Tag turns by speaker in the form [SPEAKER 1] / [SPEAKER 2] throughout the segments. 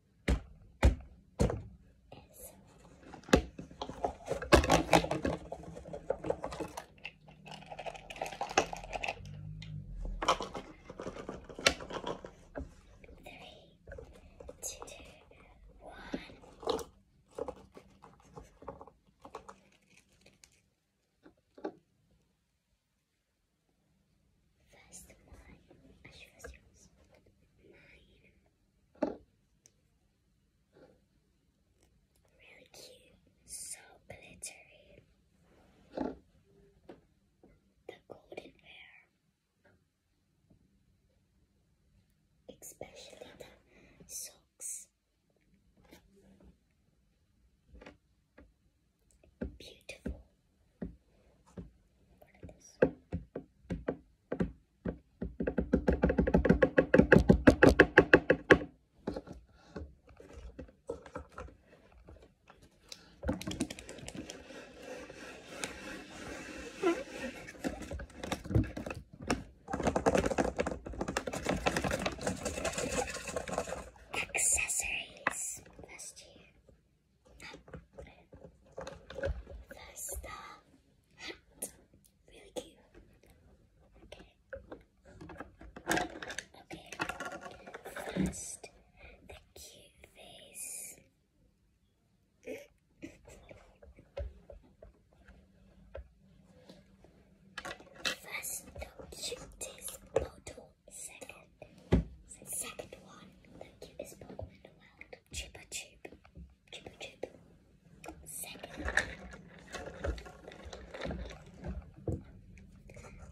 [SPEAKER 1] First mine, I should first use mine. Really cute. So glittery. The golden hair. Especially the socks. Beautiful. What is this? Accessories. Last year the hat. Really cute. Okay. Okay. First, the cute face. First, the cutest bottle. Second, second one, the cutest bottle in the world. Chupa Chup. Chupa Chup. Second.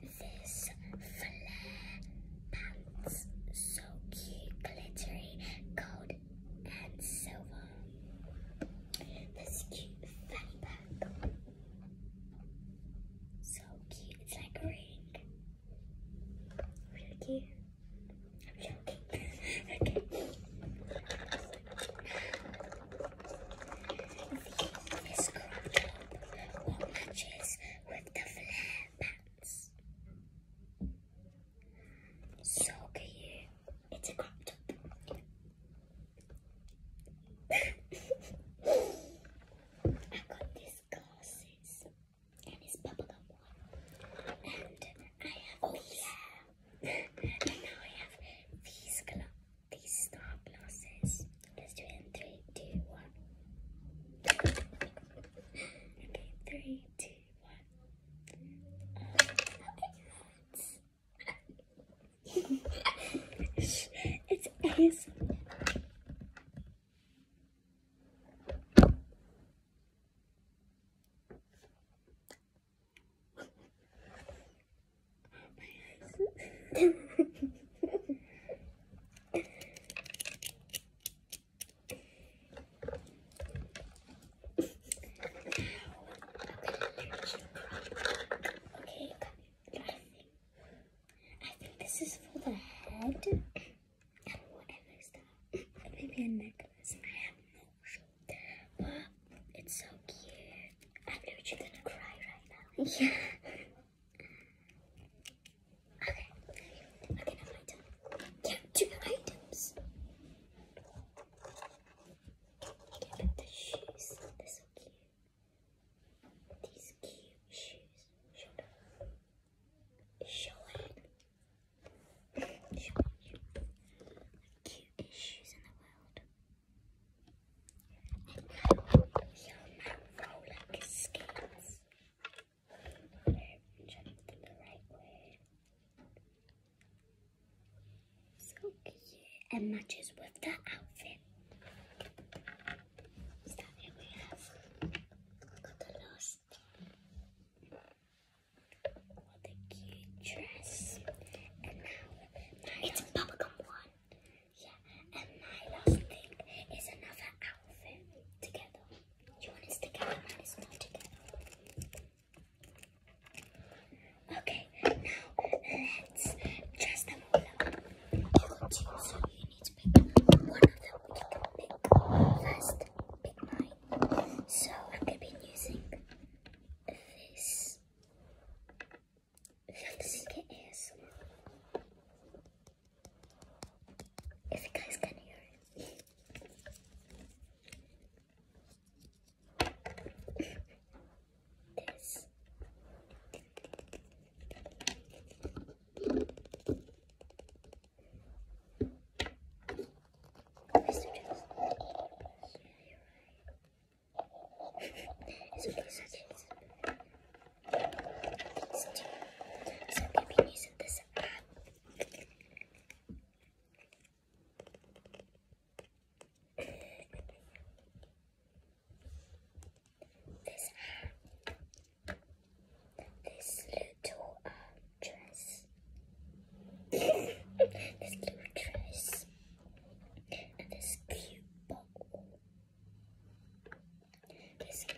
[SPEAKER 1] This flare pants. So cute, glittery, gold and silver. This cute fanny pack. So cute, it's like a ring. Really cute okay. matches with the flare pants. So cute. It's a crop top. I got these glasses and his bubblegum one. And I have oh, these. Yeah. and now I have these glasses. These star glasses. Let's do it three, two, one. Okay, three, two, one. Um, it's it's okay, I think this is for the head. I and whatever stuff. Maybe a necklace. I have no clue. But it's so cute. i know what you're gonna cry right now. Yeah. okay. Okay, now my turn. Yeah, two items. Yeah, but the shoes, they're so cute. These cute shoes. Show it. Cute issues in the world. And now your mouth roll like the right way. So cute. And matches with that outfit. So here we have got the last what a cute dress. it's bubblegum one. Yeah, and my last thing is another outfit together. You want us together, mine is not together. Okay, now let's dress them up. You can so you need to pick one of them. You can pick first, pick mine. So I could be using this. This is If you guys can hear it. this let you do this. it's okay, so it's I'm gonna be using this app. this app this little uh, dress. this little dress. And this cute bottle. This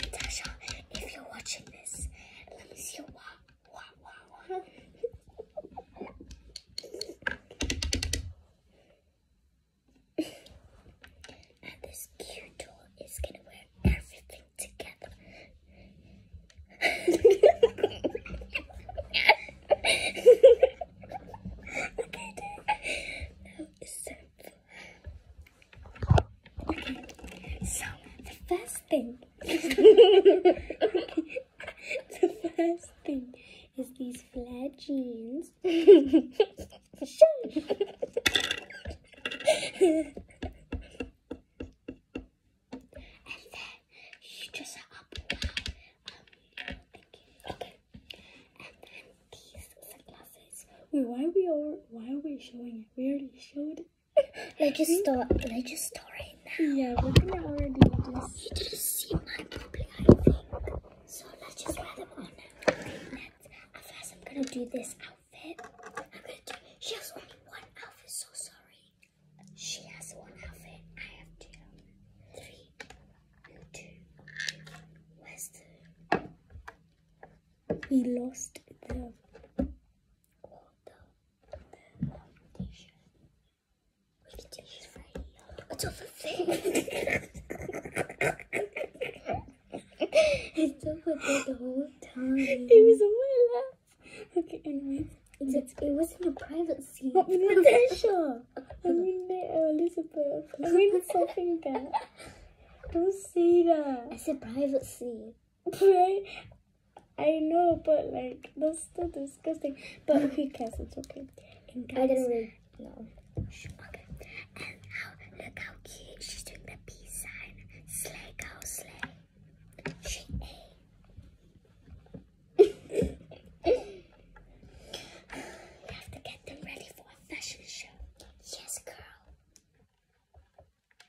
[SPEAKER 1] Natasha, if you're watching this, let me see your wow, wow, wow, wow. and this cute doll is gonna wear everything together. okay, it's time so the first thing, the first thing is these flat jeans. and then um, you dress her okay. And then these sunglasses. Wait, why are we all? Why are we showing already. We already showed it. I just saw I just saw it now. Yeah, we're gonna already just You didn't see my puppy, I think. So let's just wear them on now. Okay, next. At first I'm gonna do this outfit. I'm gonna do she has only one outfit, so sorry. She has one outfit. I have two. Where's the we lost the It's over there. it's over there the whole time. It was on my lap. Okay, anyway. it wasn't a private seat. Not with Natasha. I mean, Elizabeth. I mean, something again. Don't say that. I said private scene right? I know, but like that's still disgusting. But who cares? It's okay. I didn't really know. look how cute she's doing the peace sign. Slay go slay. we have to get them ready for a fashion show. Yes, girl.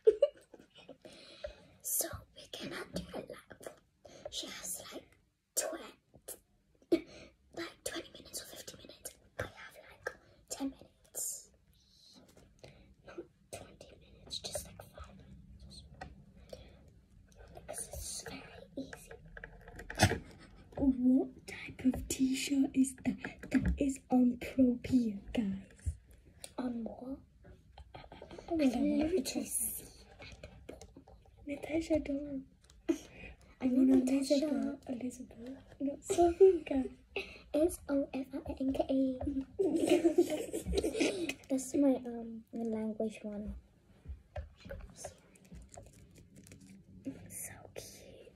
[SPEAKER 1] so we cannot do it like She has like 20, like 20 minutes or 50 minutes. I have like 10 minutes. Not 20 minutes, just like 5 minutes This is very easy. what type of t-shirt is that that is on Pro guys? on moi. I've never just Natasha, do I mean, Natasha, Natasha. Elizabeth. No, Sofinka. S O F I N K A. That's my um my language one. So cute.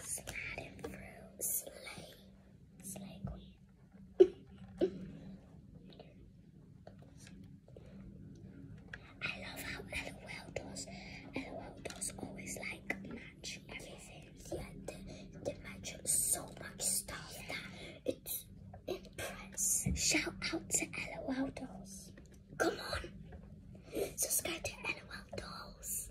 [SPEAKER 1] Sliding through sleigh, sleigh queen. I love how LOL does. LOL does always like match everything. Yeah, they, they match so much stuff that it's impressive. Shout out to LOL dolls. Come on, subscribe to LOL dolls.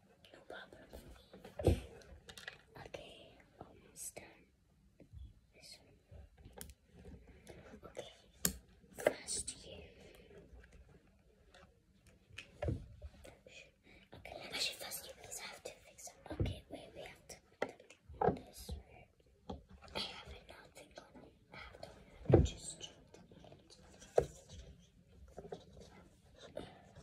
[SPEAKER 1] No problem. okay, almost done. Okay, first you. Okay, actually, first you please have to fix it. Okay, wait, we have to put this right. I have another thing I have to just. Okay. I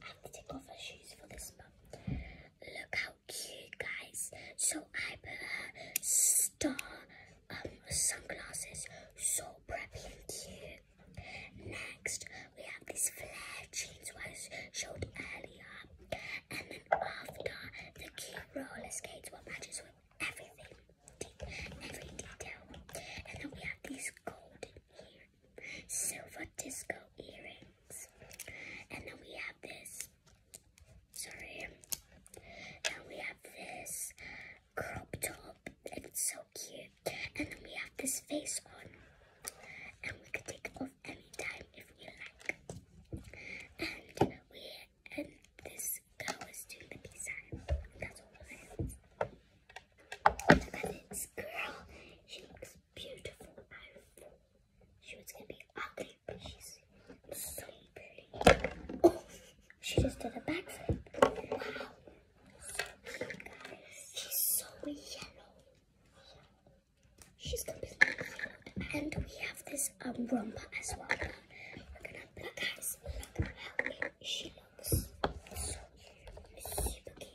[SPEAKER 1] have to take off her shoes for this, but look how cute, guys. So I put a star um, sunglasses, so preppy and cute. Next, we have these flare jeans I showed earlier. And then after, the cute roller skates, what matches with everything, every detail. And then we have these golden earrings silver disco earrings. And then we have this, sorry, and we have this crop top, it's so cute. And then we have this face on, and we can take it off anytime if we like. And we, and this girl is doing the peace That's all this girl, she beautiful She was gonna be ugly, but she's so pretty. Oh, she just did a backflip. Wow. She's so yellow. She's completely yellow. And we have this um, rumba as well. We're gonna put guys, look how she looks. So super cute.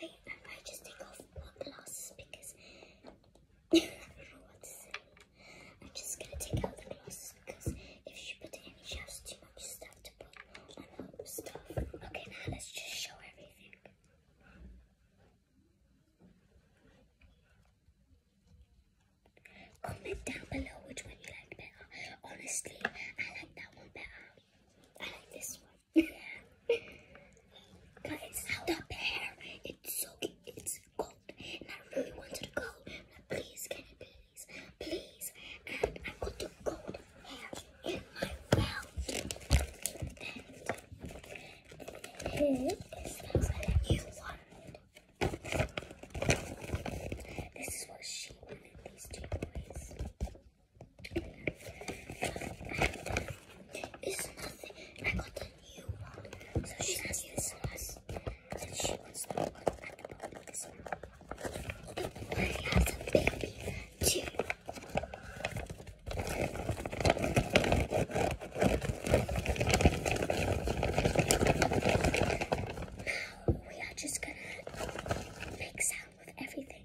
[SPEAKER 1] Wait, I just take off my glasses because I don't know what to say. I'm just gonna take out the glasses because if you put any she has too much stuff to put on her stuff. Okay, now let's just show everything. Comment down below which one you like better. Honestly, I like that one better. I like this one. Guys, that bear, it's so cute. cold. And I really wanted to go. But please, can you please? Please. And I got the cold hair in my mouth. And it is better than you wanted. This is what she wanted, these two boys. It's nothing. I got a new one. So she has this one. And she wants the one at the this one. I have a baby too. Now we are just gonna make sound with everything.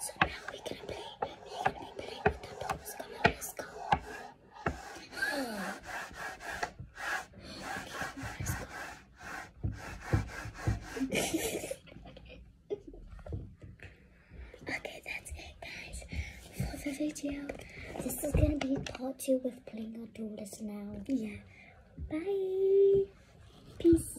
[SPEAKER 1] So now we're gonna play. with the dolls. Come on, let's okay, okay, that's it, guys, for the video. This is gonna be part two with playing our daughters now. Yeah. Bye. Peace.